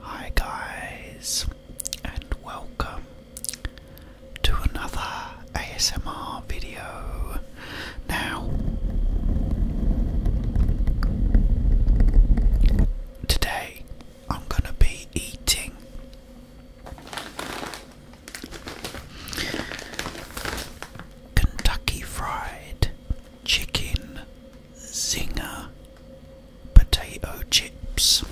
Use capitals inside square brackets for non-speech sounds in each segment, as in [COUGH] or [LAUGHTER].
Hi, guys, and welcome to another ASMR video. Now, today I'm going to be eating. Kentucky Fried Chicken Zinger potato chips.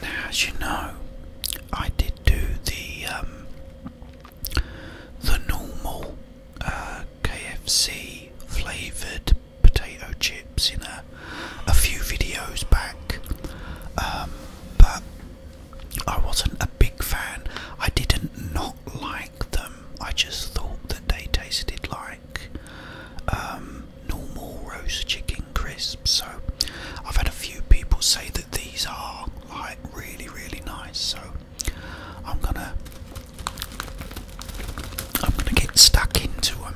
Now, as you know, I did do the um, the normal uh, KFC flavored potato chips in a, a few videos back, um, but I wasn't a big fan. I didn't not like them. I just thought that they tasted like um, normal roast chicken crisps. So I've had a few people say that these are like really, really nice. So I'm gonna I'm gonna get stuck into them.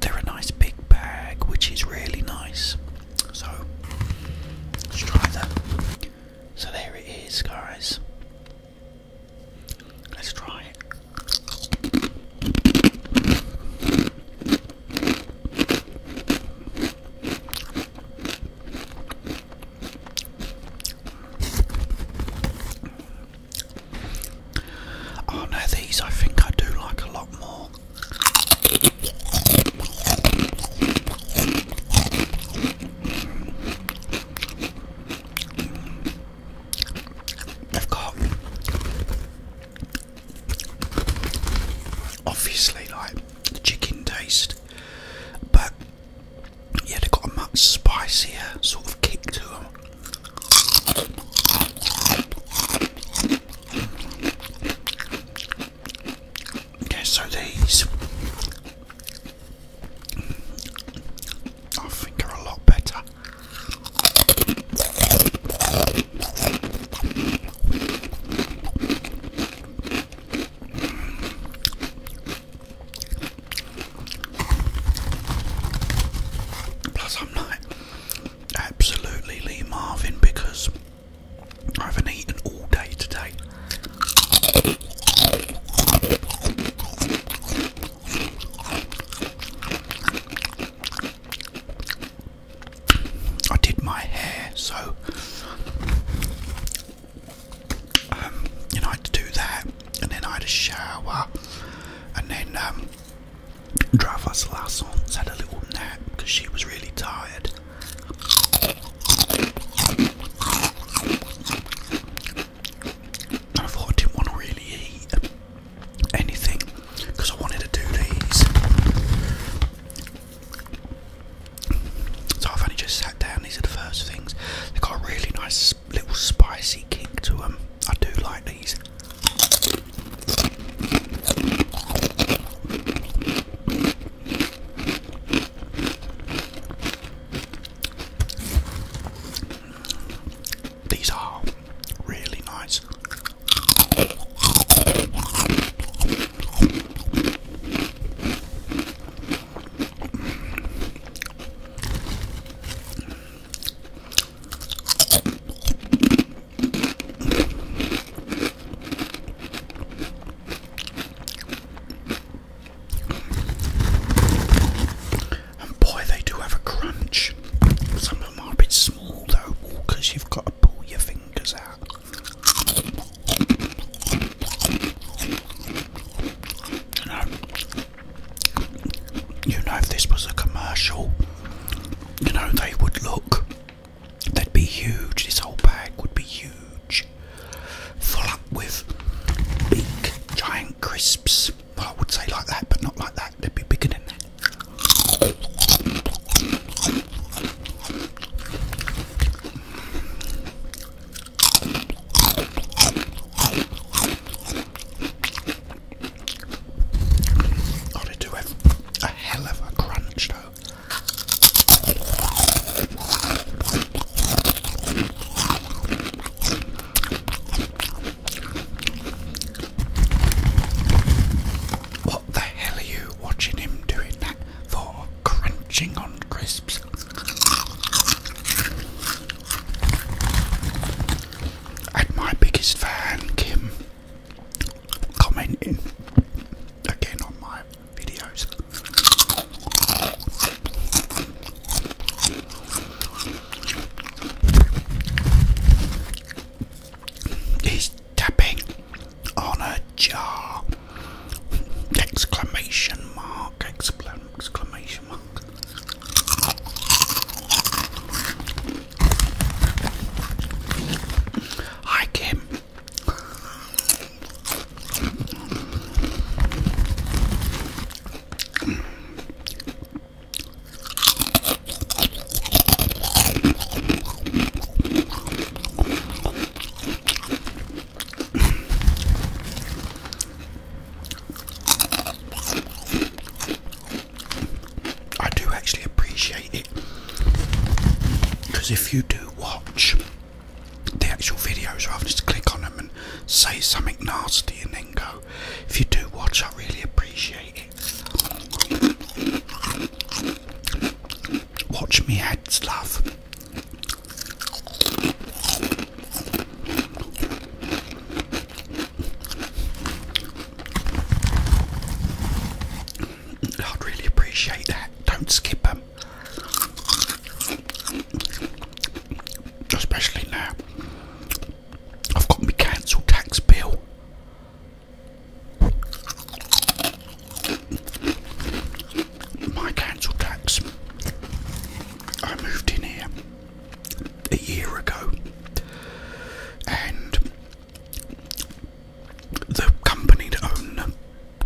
They're a nice big bag, which is really nice. So let's try that. So there it is, guys. Let's try it. Oh no, these I think I do like a lot more. They've obviously like the chicken taste, but yeah, they've got a much spicier sort of kick to them. Okay, so these I think are a lot better. Plus, I'm like absolutely Lee Marvin because I haven't eaten all day today. I did my hair, so um, you know, I had to do that, and then I had a shower, and then um, drove last on, had a little nap because she was really tired. I thought I didn't want to really eat anything because I wanted to do these. So I've only just sat down, these are the first things. They've got a really nice little spicy kick to them. I do like these. These are really nice. And boy, they do have a crunch. Some of them are a bit small though, because you've got to pull your fingers out. You know, you know, if this was a commercial, you know, they would look that would be huge. This whole bag would be huge. Full up with big, giant crisps. I would say like that, but not like that. They'd be bigger than that. Oh, they do have a hell of a crunch, though. What the hell are you watching him doing that for? Crunching on crisps. And my biggest fan, Kim, commenting again on my He's tapping on a jar. Exclamation mark, exclamation mark. Hi Kim, I do actually appreciate it. Because if you do watch the actual videos rather than just click on them and say something nasty and then go, if you do watch, I really appreciate it. Watch me ads, stuff. I'd really appreciate that. Don't skip them. Especially now. I've got my council tax bill. My council tax. I moved in here a year ago and the company that owned the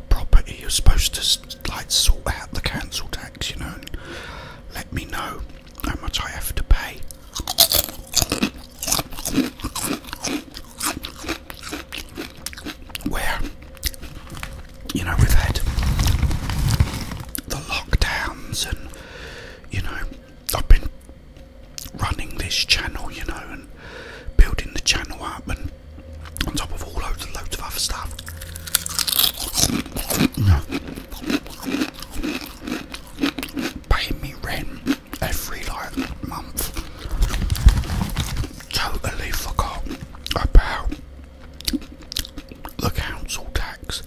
property was supposed to like sort out the council tax, you know, let me know how much I have to pay. Where, you know, we've had the lockdowns and, you know, I've been running this channel, you know, and building the channel up, and on top of all loads and loads of other stuff. Paying me rent every month. Totally forgot about the council tax.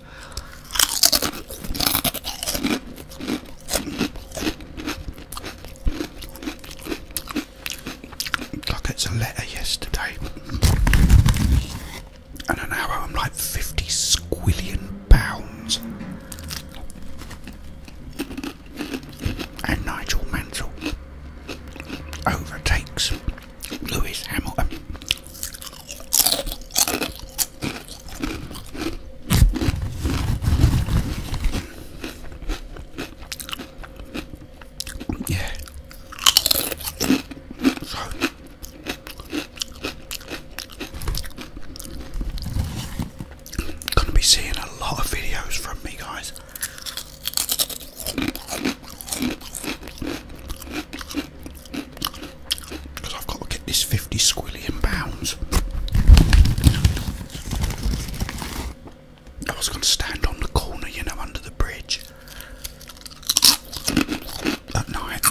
I get a letter yesterday, and an I'm like 50 squillion pounds. And Nigel Mansell overtakes Lewis Hamilton. Yeah. So gonna be seeing a lot of videos from me guys. Because I've got to get this 50 squid I was going to stand on the corner, you know, under the bridge at night,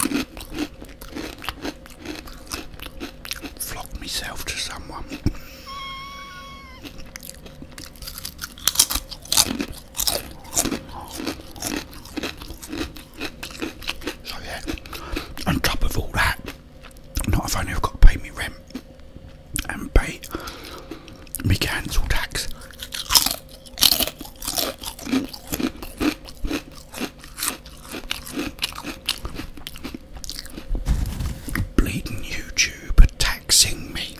flock myself to someone. So, yeah, on top of all that not if only I've got to pay me rent and pay me council tax. Bleeding YouTube taxing me.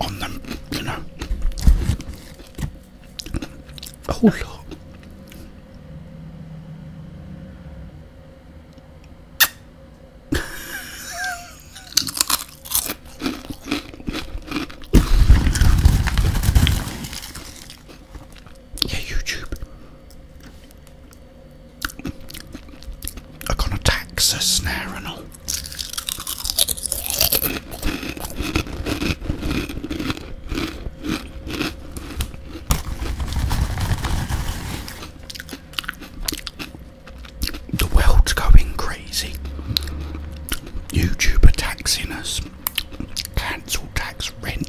On them, you know, Oh Lord. yeah, YouTube. Are gonna tax us the world's going crazy. YouTube taxing us. Cancel tax rent.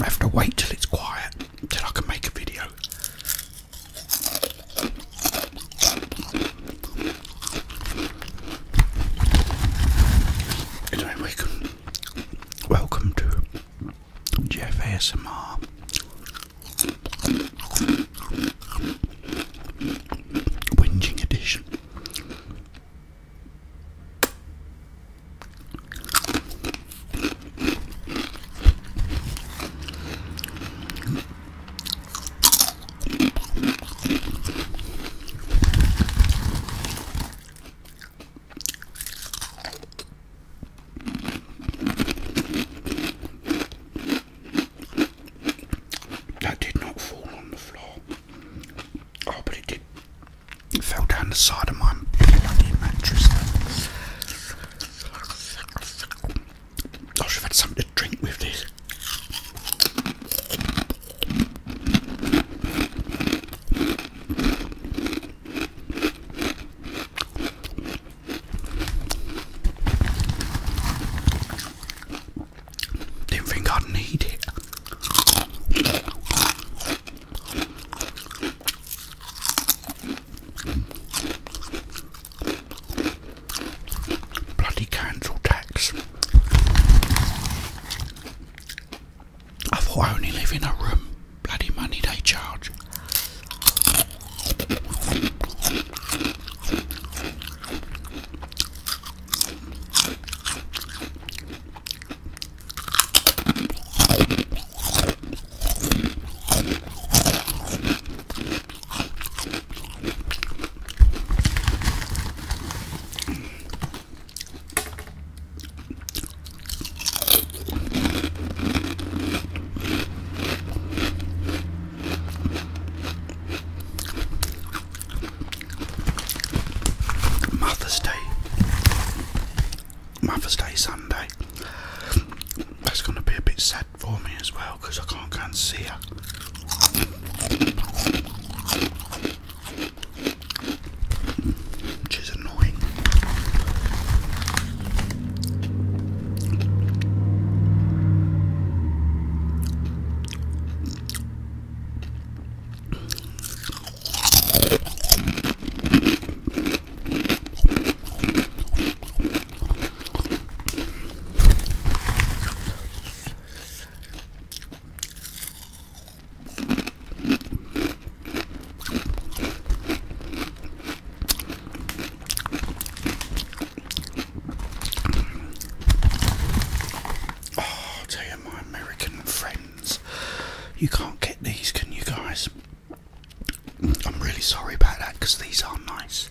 I have to wait till it's quiet till I can make a video. Anyway, we can Welcome to Jeff ASMR. Whinging edition. That did not fall on the floor. Oh, but it did. It fell down the side of my bloody mattress. I have had something to drink with this. Didn't think I'd need it. Bloody council tax. I thought I only live in a room. Bloody money they charge. Mother's Day. Mother's Day Sunday. That's going to be a bit sad for me as well because I can't go and see her which is annoying. Oh, i my American friends, you can't get these, can you guys? I'm really sorry about that because these are nice.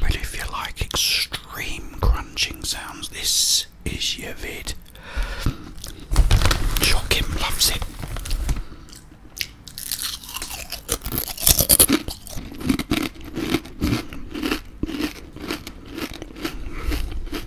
But if you like extreme crunching sounds, this is your vid. Joachim loves it.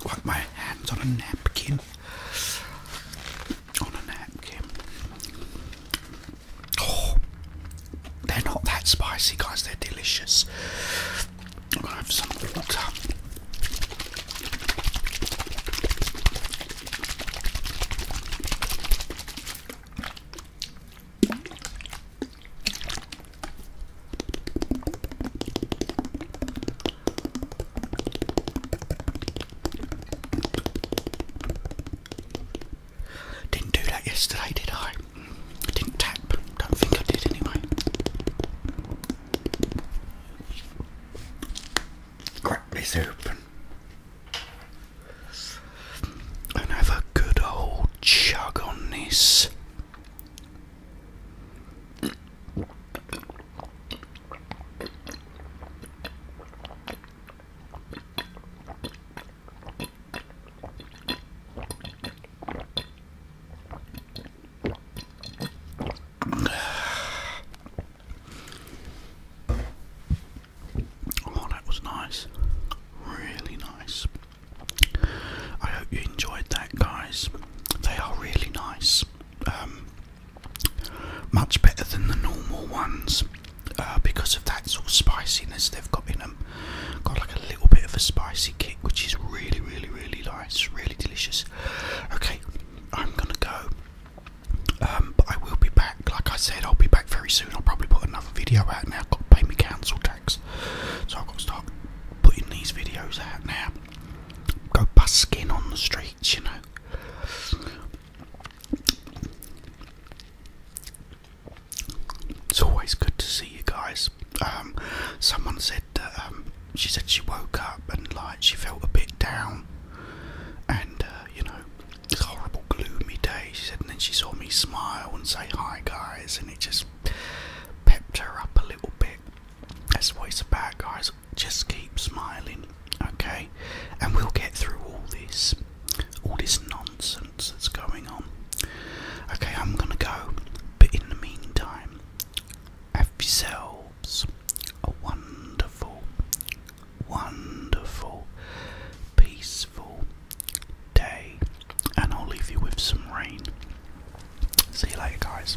Got my hands on a napkin. On a napkin. Oh, they're not that spicy, guys. They're delicious. i have some water. Didn't do that yesterday, did I? Didn't tap. Don't think I did anyway. Crack this open and have a good old chug on this. [SIGHS] Oh, that was nice. Really nice. I hope you enjoyed that, guys. They are really nice, um, much better than the normal ones uh, because of that sort of spiciness they've got in them. Got like a little bit of a spicy kick, which is really, really, really nice, really delicious. Okay, I'm gonna go. Um, but I will be back, like I said, I'll be back very soon. I'll probably put another video out now. I've got pay me council tax. So I've got to start putting these videos out now. Go busking on the streets, you know. It's always good to see you guys. Um, someone said um, she said she woke up and like she felt a bit down, and uh, you know, it's horrible, gloomy day. She said, and then she saw me smile and say hi, guys, and it just pepped her up a little bit. That's what it's about, guys. Just keep smiling, okay? And we'll get through all this, all this nonsense that's going on. Okay, I'm gonna go, but in the meantime, have yourselves a wonderful, wonderful, peaceful, day, and I'll leave you with some rain. See you later, guys.